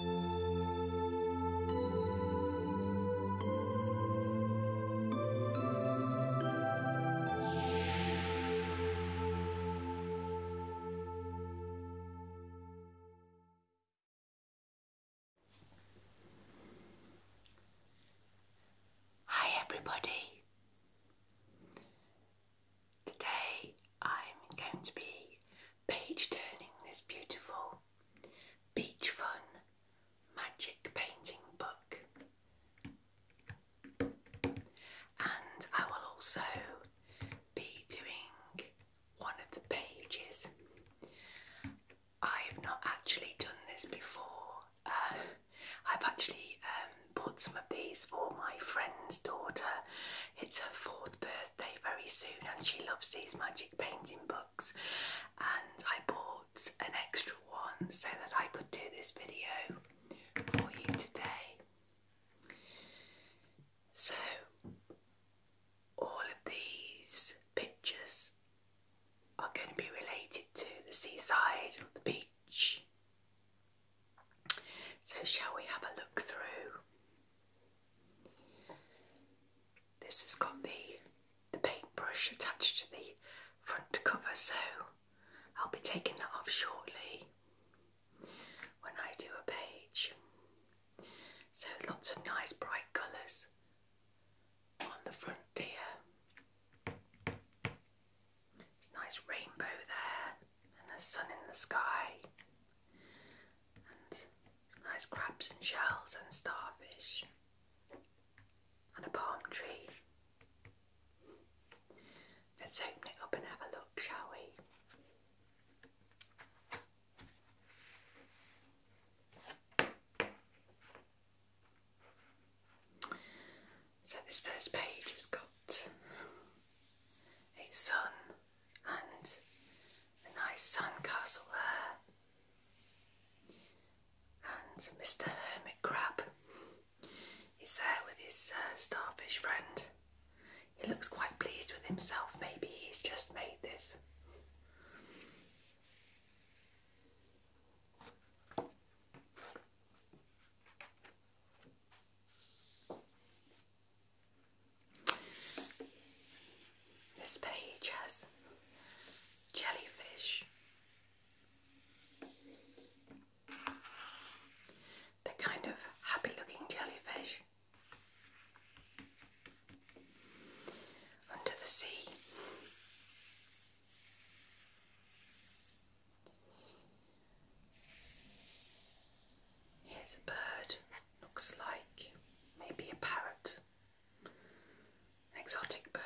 Hi everybody. Today I'm going to be page turning this beautiful beach fun magic painting book, and I will also be doing one of the pages. I have not actually done this before. Uh, I've actually um, bought some of these for my friend's daughter. It's her fourth birthday very soon and she loves these magic painting books and I bought an extra one so that I could do this video for you today. So all of these pictures are going to be related to the seaside or the beach. So shall we have a look through? This has got the the paintbrush attached to the front cover, so I'll be taking that off shortly when I do a page. So lots of nice bright colours on the front here. It's nice rainbow there and the sun in the sky nice crabs and shells and starfish and a palm tree. Let's open it up and have a look, shall we? So, this first page has got a sun, and a nice sandcastle there. And Mr. Hermit Crab is there with his uh, starfish friend. He looks quite pleased with himself. Maybe he's just made this. This page has jellyfish. they kind of happy looking jellyfish. Under the sea. Here's a bird. Looks like maybe a parrot, an exotic bird.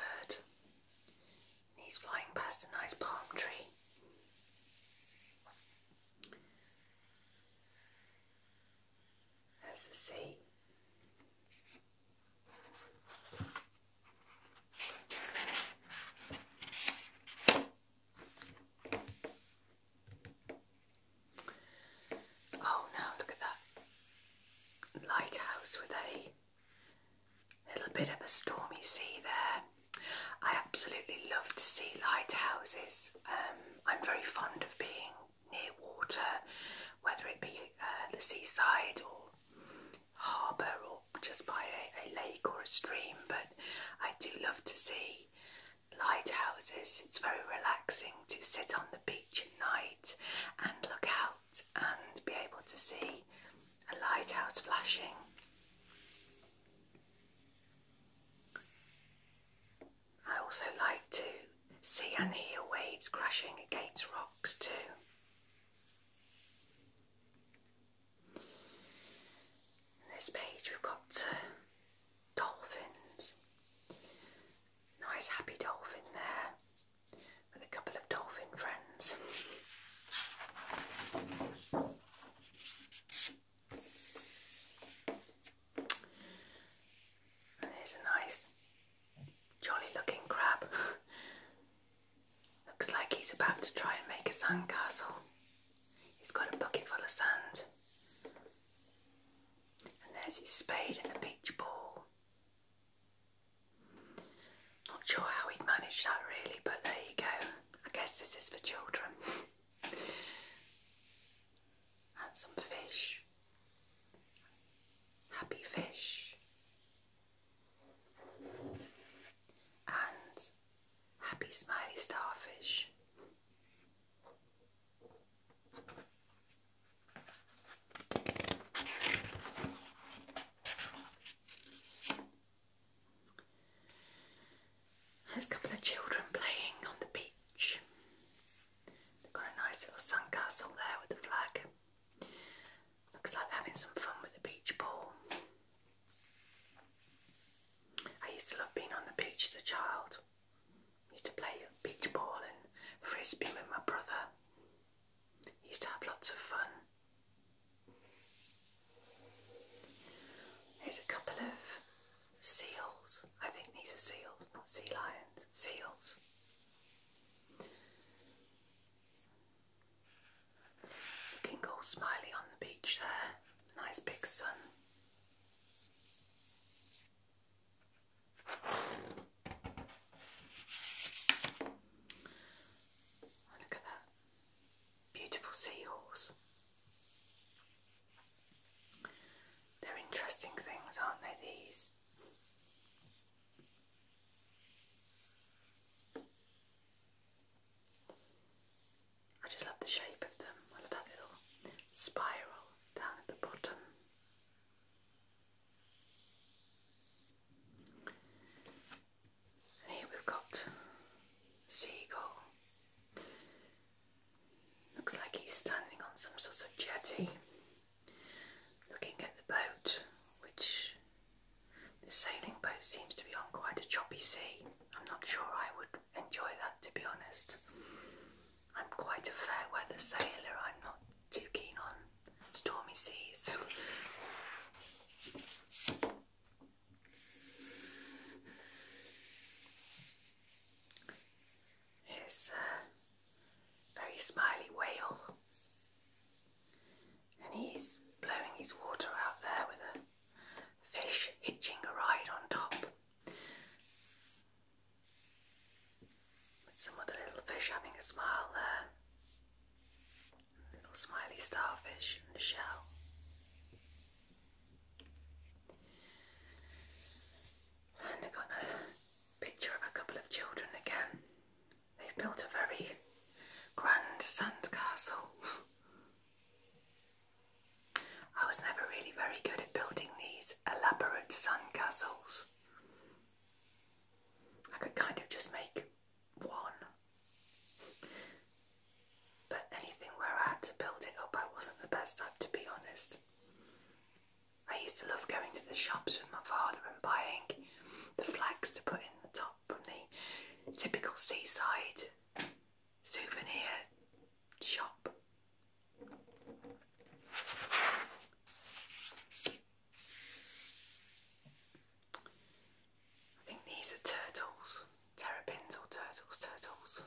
he's flying past a nice palm tree. There's the sea. Oh now look at that lighthouse with a little bit of a stormy sea there. I absolutely love to see lighthouses. Um, I'm very fond of being near water, whether it be uh, the seaside or harbour or just by a lake or a stream, but I do love to see lighthouses. It's very relaxing to sit on the beach at night and look out and be able to see a lighthouse flashing. I also like to see and hear waves crashing against rocks too. this page we've got uh, dolphins. Nice happy dolphin there with a couple of dolphin friends. And a nice jolly looking crab. Looks like he's about to try and make a sandcastle. He's got a bucket full of sand. And there's his spade and the beach ball. Not sure how he'd managed that really, but there you go. I guess this is for children. and some fish. Happy fish. And happy smiley starfish. There's a couple of children playing on the beach. They've got a nice little sandcastle there with the flag. Looks like they're having some fun with the beach ball. I used to love being on the beach as a child used to play beach ball and frisbee with my brother. He used to have lots of fun. There's a couple of seals. I think these are seals, not sea lions. Seals. Looking all smiley on the beach there. Nice big sun. Oh, look at that beautiful seahorse. They're interesting things, aren't they? These. I just love the shape of them. I love that little spiral down at the bottom. Here we've got seagull. Looks like he's standing on some sort of jetty, looking at the boat, which the sailing boat seems to be on quite a choppy sea. I'm not sure I would enjoy that to be honest. I'm quite a fair weather sailor, I'm not too keen on stormy seas. It's a very smiley whale, and he's blowing his water out there with a fish hitching a ride on top. With some other little fish having a smile there. A little smiley starfish in the shell. And I got a picture of a couple of children again. They've built a very grand sandcastle. I was never really very good at building these elaborate sandcastles. I could kind of just make one. But anything where I had to build it up, I wasn't the best at, to be honest. I used to love going to the shops with my father and buying the flags to put in the top from the typical seaside souvenir shop. I think these are turtles, terrapins or turtles, turtles.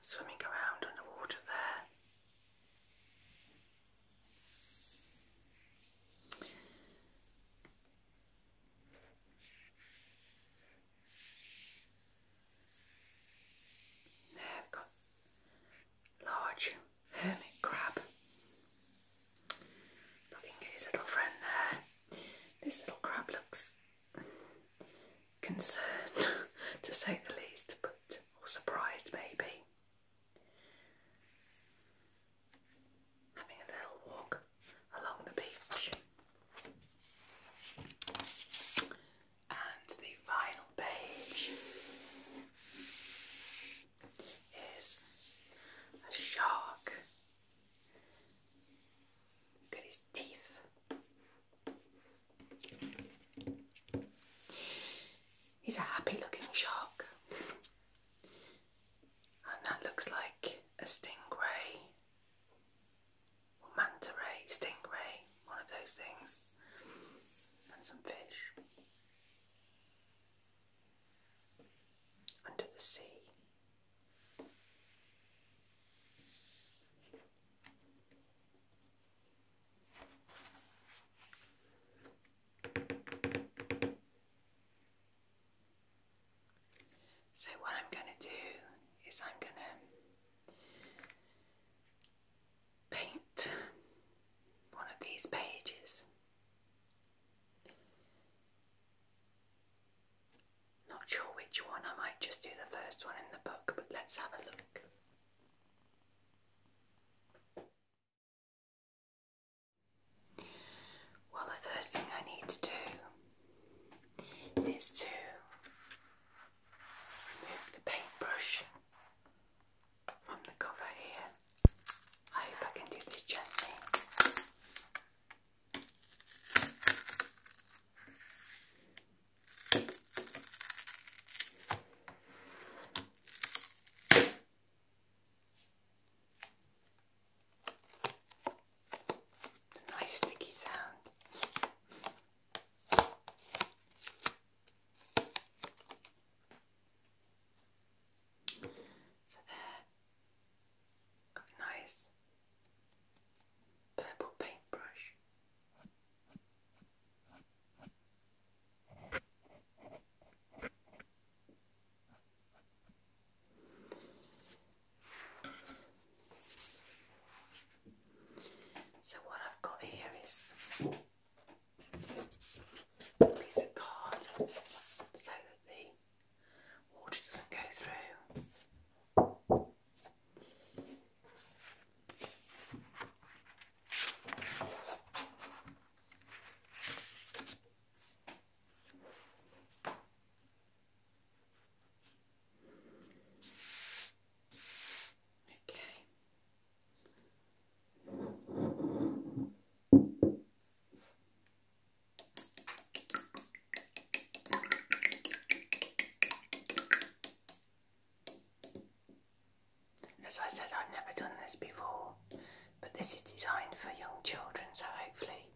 Swimming around underwater there. There large hermit crab. Looking at his little friend there. This little crab looks concerned to say the least, but or surprised maybe. Having a little walk along the beach. And the final page is a shark. Look at his teeth. He's a happy looking shark. And that looks like a stingray manta ray, stingray, one of those things, and some fish. Under the sea. So, what I'm going to do is, I'm going to Paint one of these pages. Not sure which one, I might just do the first one in the book, but let's have a look. Well, the first thing I need to do is to remove the paintbrush from the cover here. I hope I can do this gently. nice sticky sound. So there, got a nice purple paintbrush. So, what I've got here is a piece of card so that the water doesn't go through. As I said, I've never done this before, but this is designed for young children, so hopefully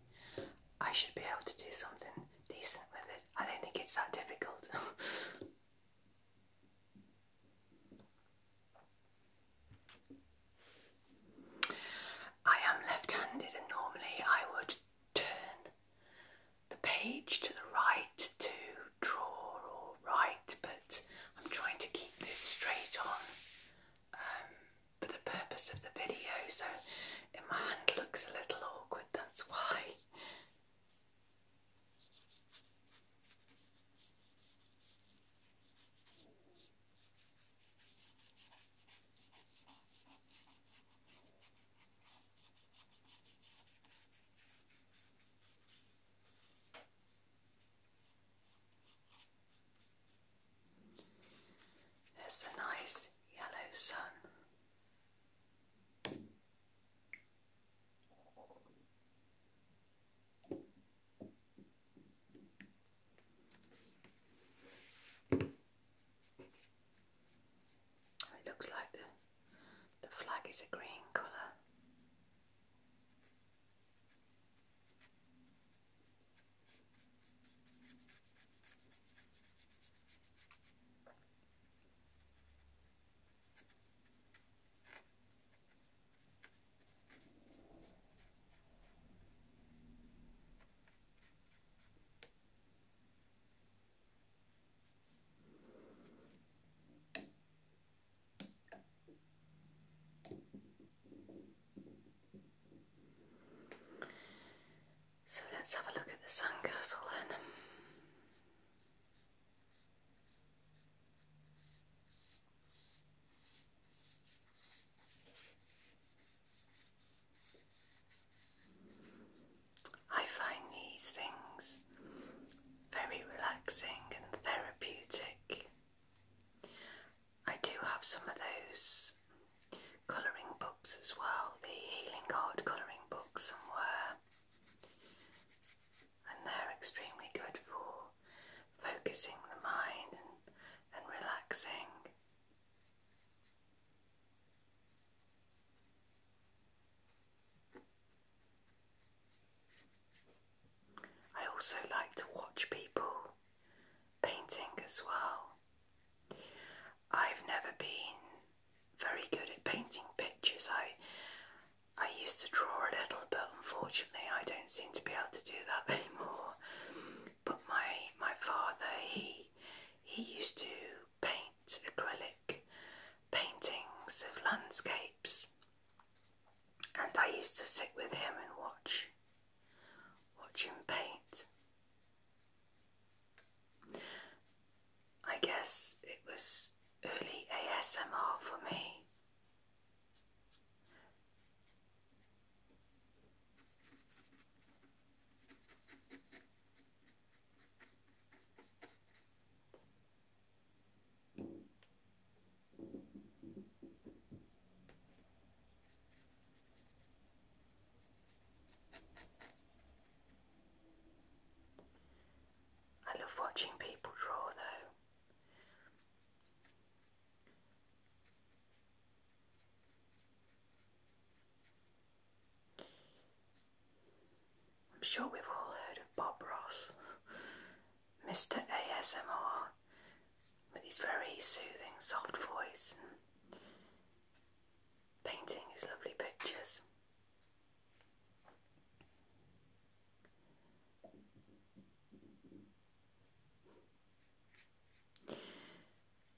I should be able to do something decent with it. I don't think it's that difficult. I am left-handed and normally I would turn the page to the right to draw or write but I'm trying to keep this straight on um, for the purpose of the video so if my hand looks a little awkward that's why. There's the nice yellow sun. It looks like the the flag is a green colour. So let's have a look at the sun then. I find these things very relaxing and therapeutic. I do have some of those colouring books as well, the Healing art colouring books somewhere and they're extremely good for focusing the mind and, relaxing. I also like to watch people painting as well. I've never been very good at painting pictures. I I used to draw a little, but unfortunately, I don't seem to be able to do that anymore. But my my father, he he used to paint acrylic paintings of landscapes, and I used to sit with him and watch watch him paint. I guess it was early ASMR for me. I love watching people draw though. I'm sure we've all heard of Bob Ross, Mr. ASMR, with his very soothing, soft voice and painting his lovely pictures.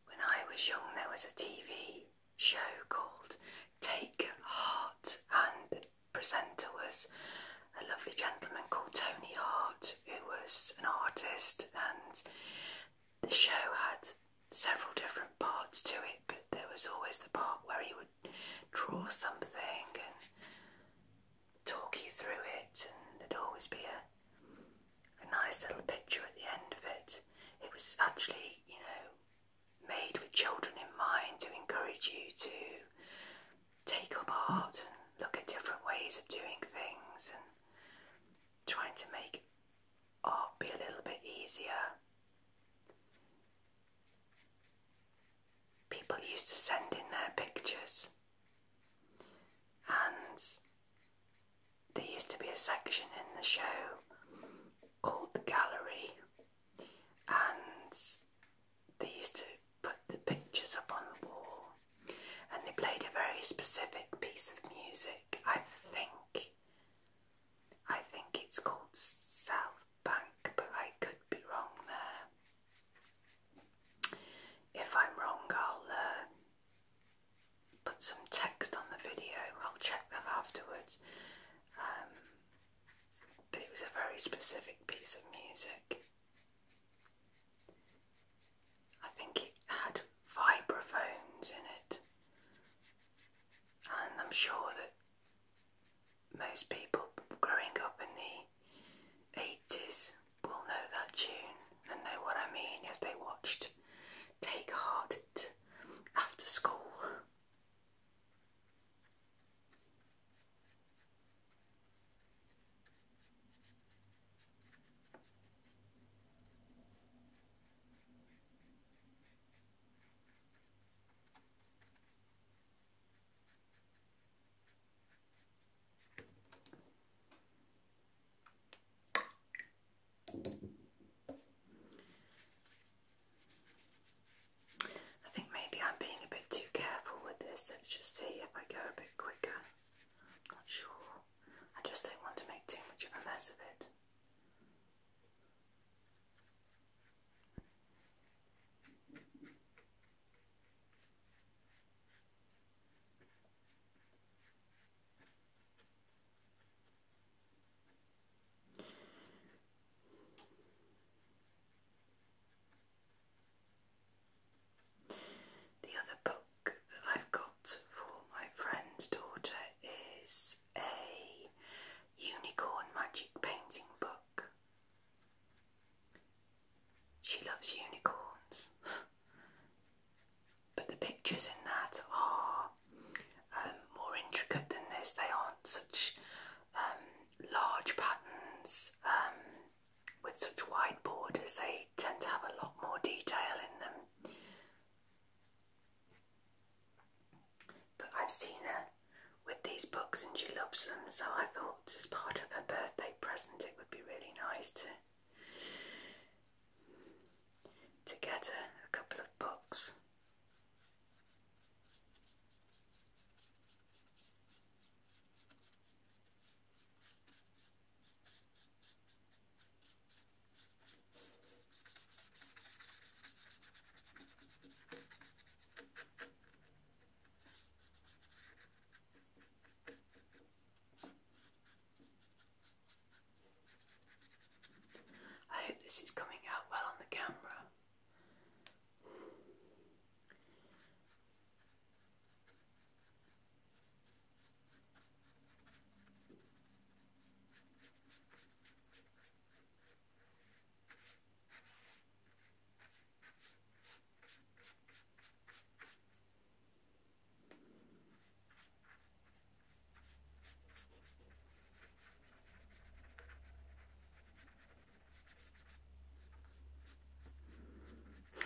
When I was young, there was a TV show called Take Heart, and the presenter was a lovely gentleman called Tony Hart, who was an artist, and the show had several different parts to it, but there was always the part where he would draw something and talk you through it, and there'd always be a nice little picture at the end of it. It was actually, you know, made with children in mind to encourage you to take up art and look at different ways of doing things and trying to make or oh, be a little bit easier. People used to send in their pictures, and there used to be a section in the show called the gallery, and they used to put the pictures up on the wall, and they played a very specific piece of music. I think I think it's called South Bank, but I could be wrong there. If I'm wrong, I'll uh, put some text on the video, I'll check that afterwards. Um, but it was a very specific piece of music. I think it had vibraphones in it, and I'm sure that most people growing up in the 80s will know that tune and know what I mean if they watched Take Heart after school. I think maybe I'm being a bit too careful with this. Let's just see if I go a bit quicker. not sure. I just don't want to make too much of a mess of it. The other book that I've got for my friend's daughter is a Unicorn Magic Painting Book. She loves unicorns. but the pictures in that are um, more intricate than this. They aren't such um, large patterns um, with such wide borders. They tend to have a lot more detail in them. But I've seen her with these books and she loves them, so I thought as part of her birthday present it would be really nice to to get her a couple of books. I hope this is coming out well on the camera.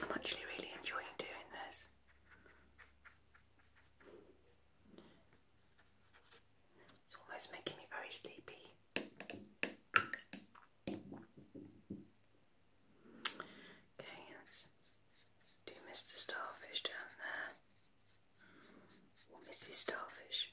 I'm actually really enjoying doing this. It's almost making me very sleepy. Okay, let's do Mr. Starfish down there. Or Mrs. Starfish.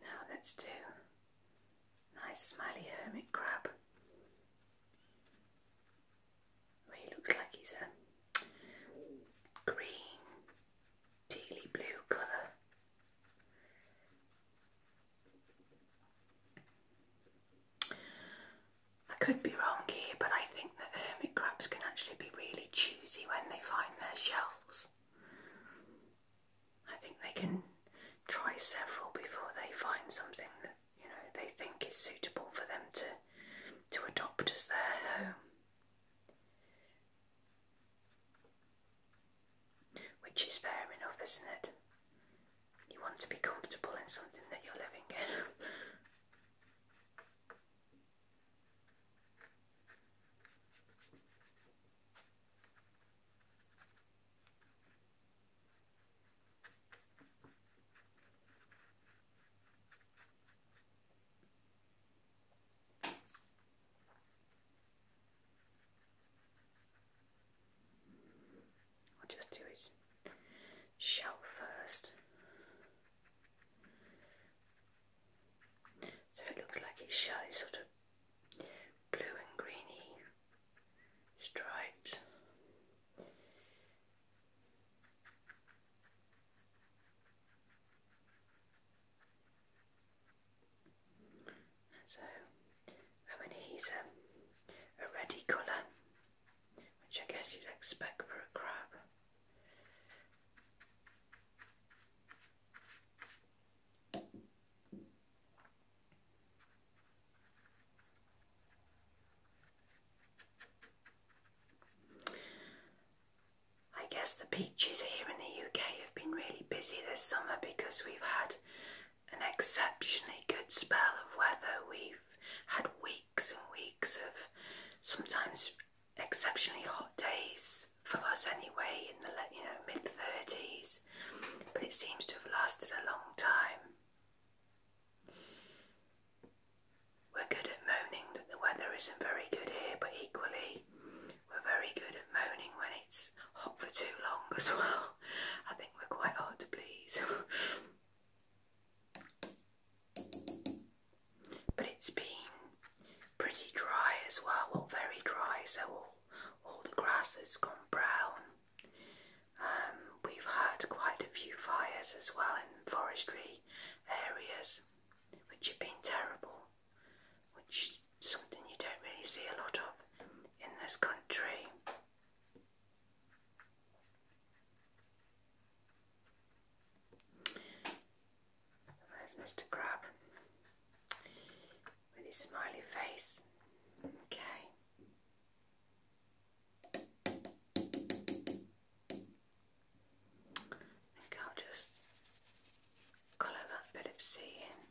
Now let's do nice smiley hermit crab. he looks like he's a green, tealy blue colour. I could be wrong here, but I think that hermit crabs can actually be really choosy when they find their shells. I think they can try several before they find something that you know they think is suitable for them to to adopt as their home. Which is fair enough, isn't it? You want to be comfortable in something that you're living in. I'll just do his shell first. So it looks like his shell is sort of blue and greeny stripes. So, I mean, he's a, um, a reddy colour, which I guess you'd expect for a crab. I guess the beaches here in the UK have been really busy this summer because we've had an exceptionally good spell of weather. We've we've had weeks and weeks of sometimes exceptionally hot days for us anyway in the you know mid 30s but it seems to have lasted a long time we're good at moaning that the weather isn't very good here but equally we're very good at moaning when it's hot for too long as well i think we're quite hard to please But it's been pretty dry as well, very dry, so all, the grass has gone brown. Um, we've had quite a few fires as well in forestry areas, which have been terrible, which is something you don't really see a lot of in this country. Where's Mr. Crab? With his smiley face. Okay. I think I'll just colour that bit of sea in.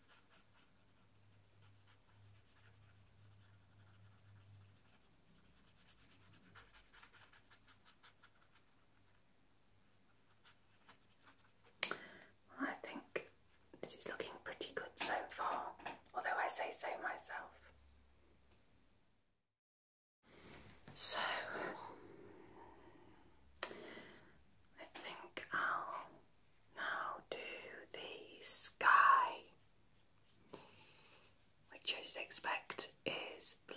I think this is looking pretty good so far, although I say so myself. So, I think I'll now do the sky, which as expect is blue.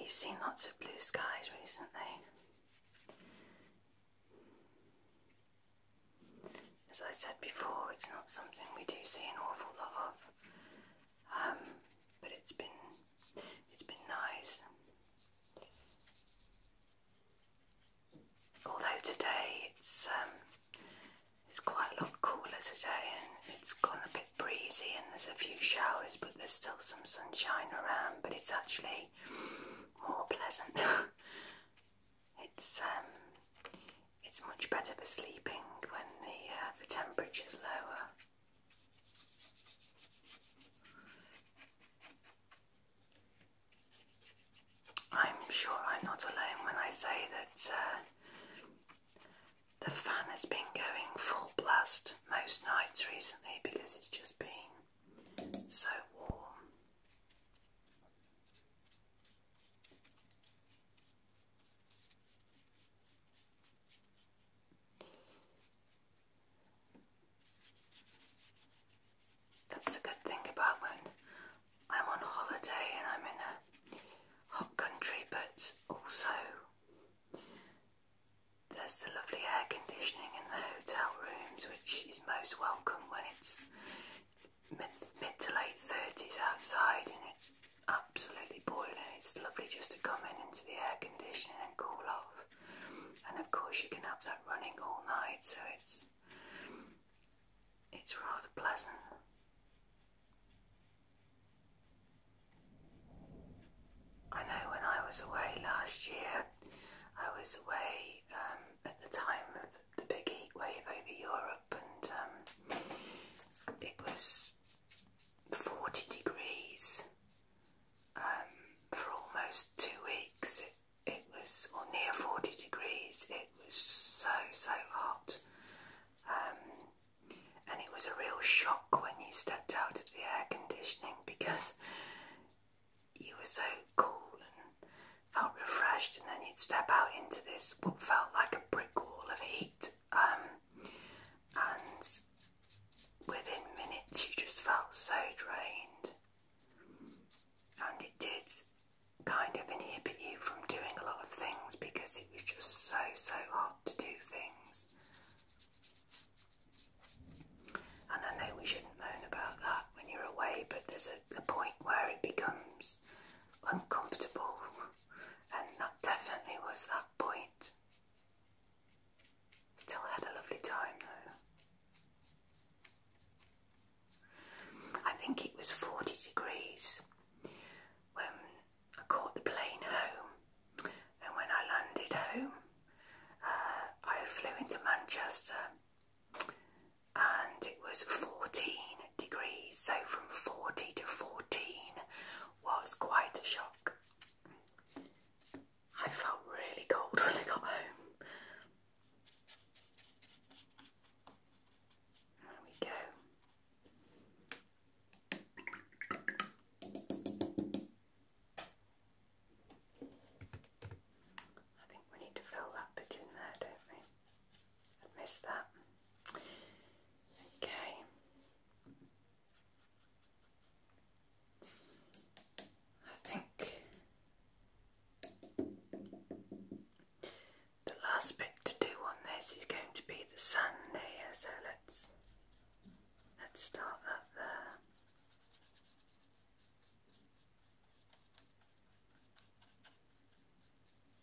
We've seen lots of blue skies recently. As I said before, it's not something we do see an awful lot of, um, but it's been it's been nice. Although today it's um, it's quite a lot cooler today, and it's gone a bit breezy, and there's a few showers, but there's still some sunshine around. But it's actually more pleasant. it's um, it's much better for sleeping when the, uh, the temperature's lower. I'm sure I'm not alone when I say that uh, the fan has been going full blast most nights recently because it's just been so warm. That's a good thing about when I'm on holiday and I'm in a hot country, but also there's the lovely air conditioning in the hotel rooms, which is most welcome when it's mid, to late 30s outside and it's absolutely boiling. It's lovely just to come in into the air conditioning and cool off. And of course, you can have that running all night, so it's it's rather pleasant. I know when I was away last year, I was away um, at the time of the big heat wave over Europe, and um, it was 40 degrees um, for almost two weeks. It, was, or near 40 degrees, it was so, so hot. Um, and it was a real shock when you stepped out of the air conditioning because you were so cool and felt refreshed, and then you'd step out into this what felt like a brick wall of heat. Um, and within minutes you just felt so drained and it did kind of inhibit you from doing a lot of things because it was just so so hard to do things and I know we shouldn't moan about that when you're away but there's a point where it becomes uncomfortable and that definitely was that point. Still had a lovely time though. I think it was 40 degrees when I caught the plane home, and when I landed home, uh, I flew into Manchester and it was 14 degrees, so from 40 to 14 was quite a shock. I felt really cold when I got home. There we go. I think we need to fill that bit in there, don't we? I missed that. Okay. I think the last bit to do on this is going to be the sun layer, so let's let's start that there.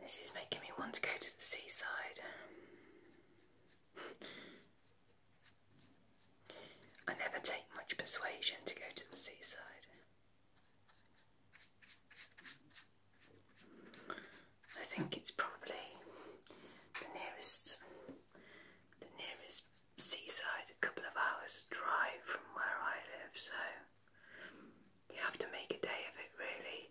This is making me want to go to the seaside. I never take much persuasion to go to the seaside. I think it's probably the nearest the nearest seaside a couple of hours drive from where I live, so you have to make a day of it really.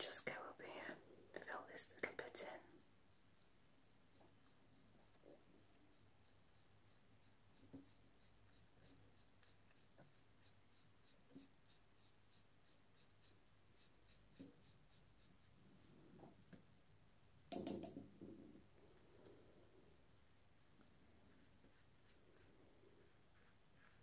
Just go up here, fill this little bit in.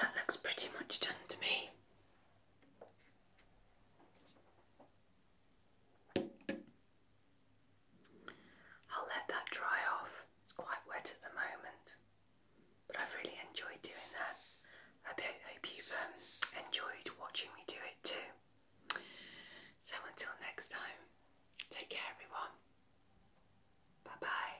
That looks pretty much done to me. I'll let that dry off. It's quite wet at the moment, but I've really enjoyed doing that. I hope you've um, enjoyed watching me do it too. So until next time, take care everyone. Bye bye.